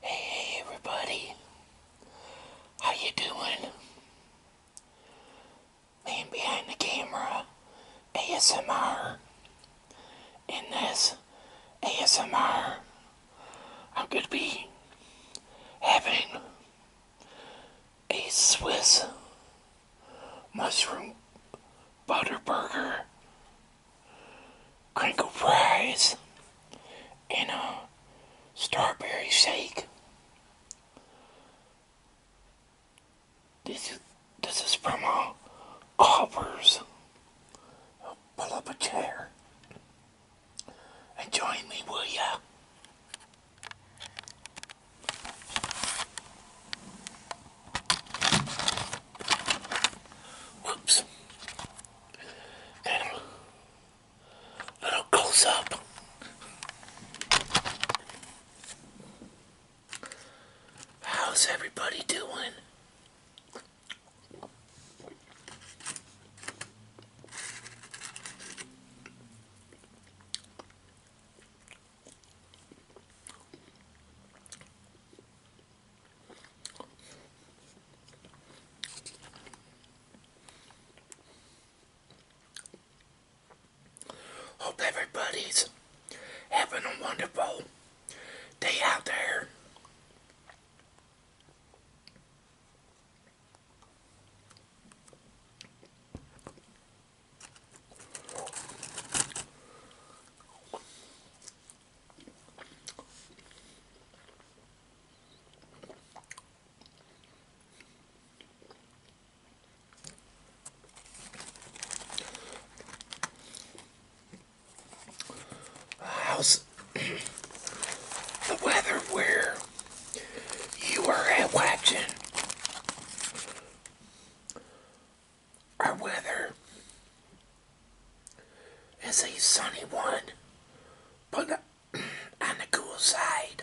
Hey, hey everybody. How you doing? Man behind the camera ASMR. In this ASMR, I'm going to be having a Swiss mushroom butter burger crinkle fries, and a strawberry shake. This is, this is from uh, a Coppers. Pull up a chair and join me, will ya? Whoops. little close up. How's everybody doing? Hope everybody's having a wonderful day out there. How's the weather where you are at watching? our weather is a sunny one, but on the cool side.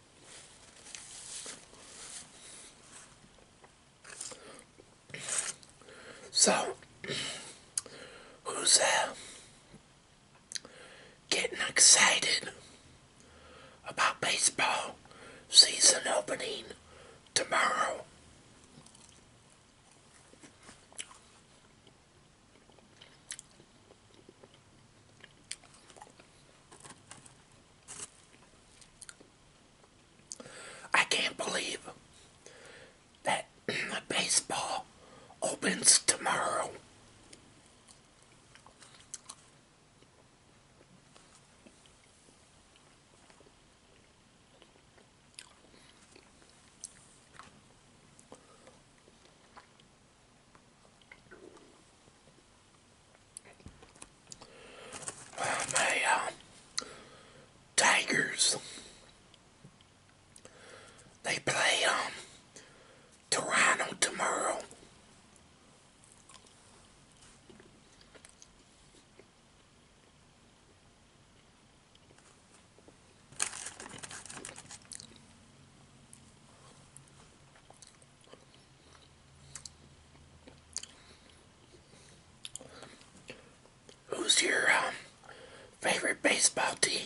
So, who's uh, getting excited about baseball season opening tomorrow? I can't believe that baseball opens tomorrow my uh, Tigers, they play um, Toronto tomorrow. Who's your um, favorite baseball team?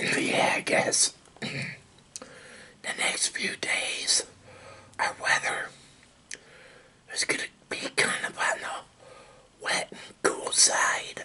yeah, I guess the next few days, our weather is going to be kind of on the wet and cool side.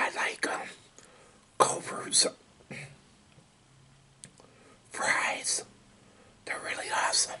I like um, Culver's fries. They're really awesome.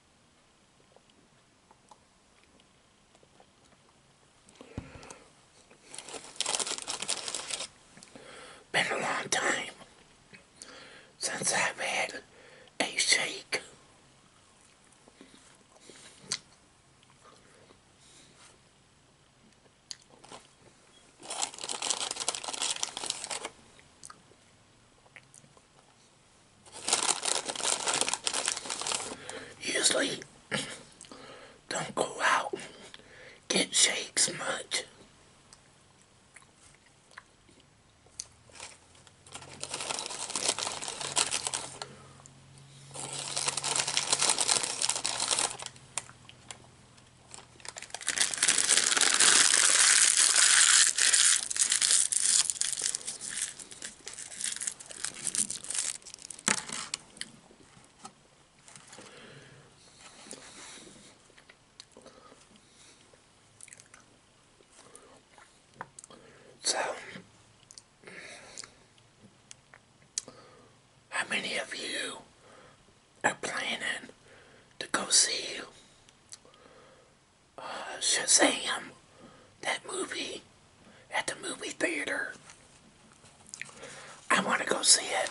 Been a long time since I've had a shake. Usually don't go out get shakes much. So, how many of you are planning to go see uh, Shazam, that movie, at the movie theater. I want to go see it.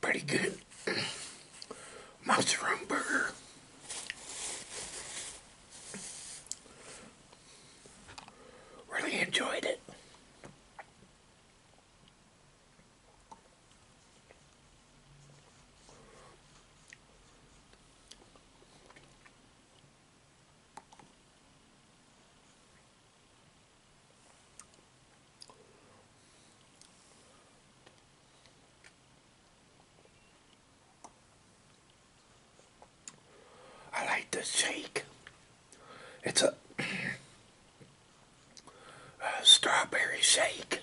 Pretty good mushroom burger. Really enjoyed it. I like the shake. It's a, strawberry shake.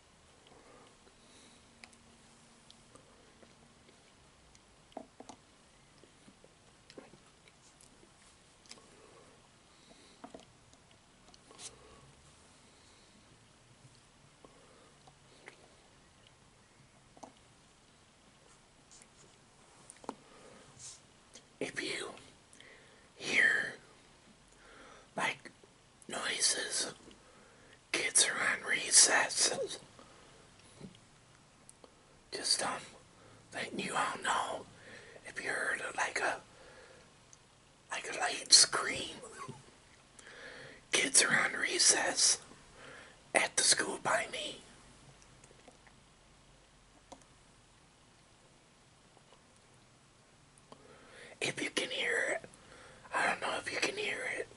If you hear like noises. Kids are on recess. Just um, letting you all know if you heard like a like a light scream. Kids are on recess at the school by me. If you can hear it. I don't know if you can hear it.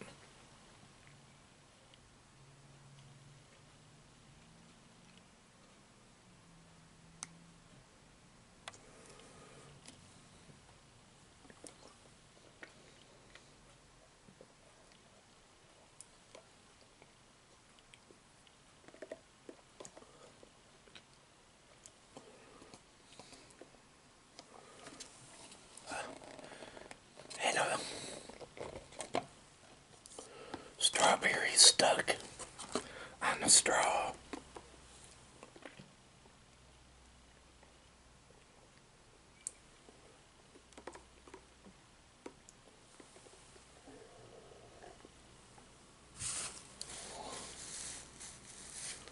And uh, strawberry stuck on the straw.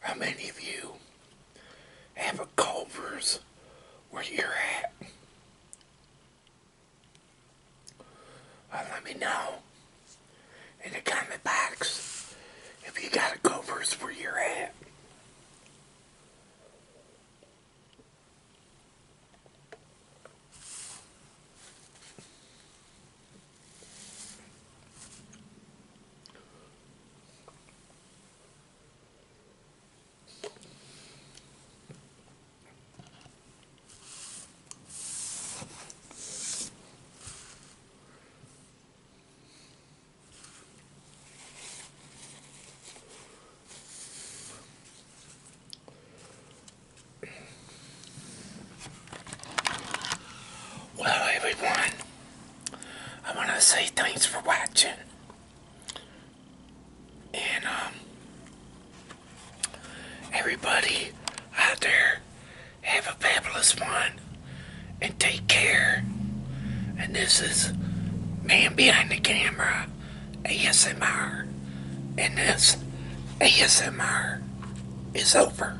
how many of you have a Culver's where you're at? Uh, let me know in the comment box if you got a Culver's where you're at. Well, everyone, I want to say thanks for watching. And, um, everybody out there, have a fabulous one. And take care. And this is Man Behind the Camera ASMR. And this ASMR is over.